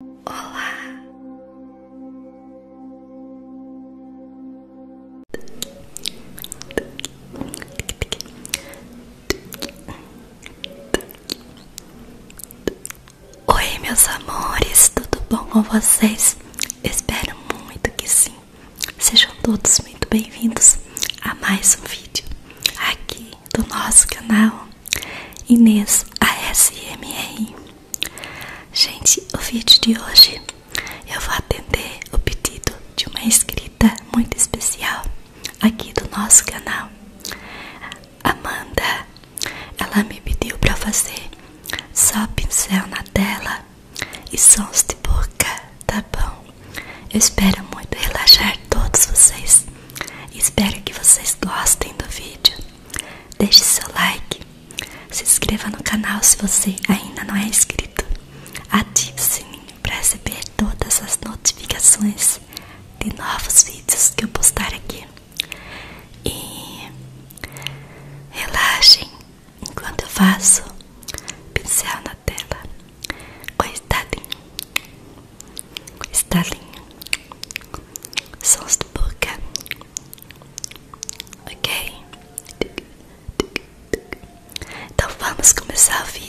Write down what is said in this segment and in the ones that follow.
Olá. Oi, meus amores, tudo bom com vocês? Espero muito que sim. Sejam todos muito bem-vindos a mais um vídeo aqui do nosso canal. Inês ASMR. Gente, o vídeo de hoje eu vou atender o pedido de uma inscrita muito especial aqui do nosso canal. Amanda, ela me pediu para fazer só pincel na tela e sons de boca, tá bom? Eu espero muito relaxar todos vocês. Espero que vocês gostem do vídeo. Deixe seu like, se inscreva no canal se você ainda não é inscrito, ative o sininho para receber todas as notificações de novos vídeos que eu postar aqui. E relaxem enquanto eu faço pincel na tela. Coitadinho estalinho, sons de boca, ok? Então vamos começar o vídeo.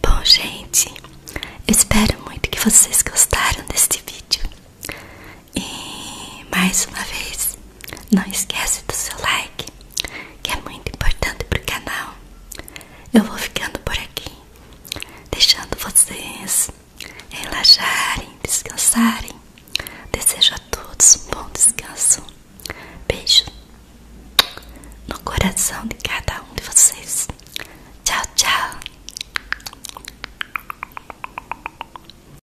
Bom, gente, espero muito que vocês gostaram deste vídeo. E mais uma vez, não esquece do seu like, que é muito importante pro canal. Eu vou ficando por aqui, deixando vocês relaxarem, descansarem. Desejo a todos um bom descanso. Beijo no coração de cada um de vocês. Tchau, tchau.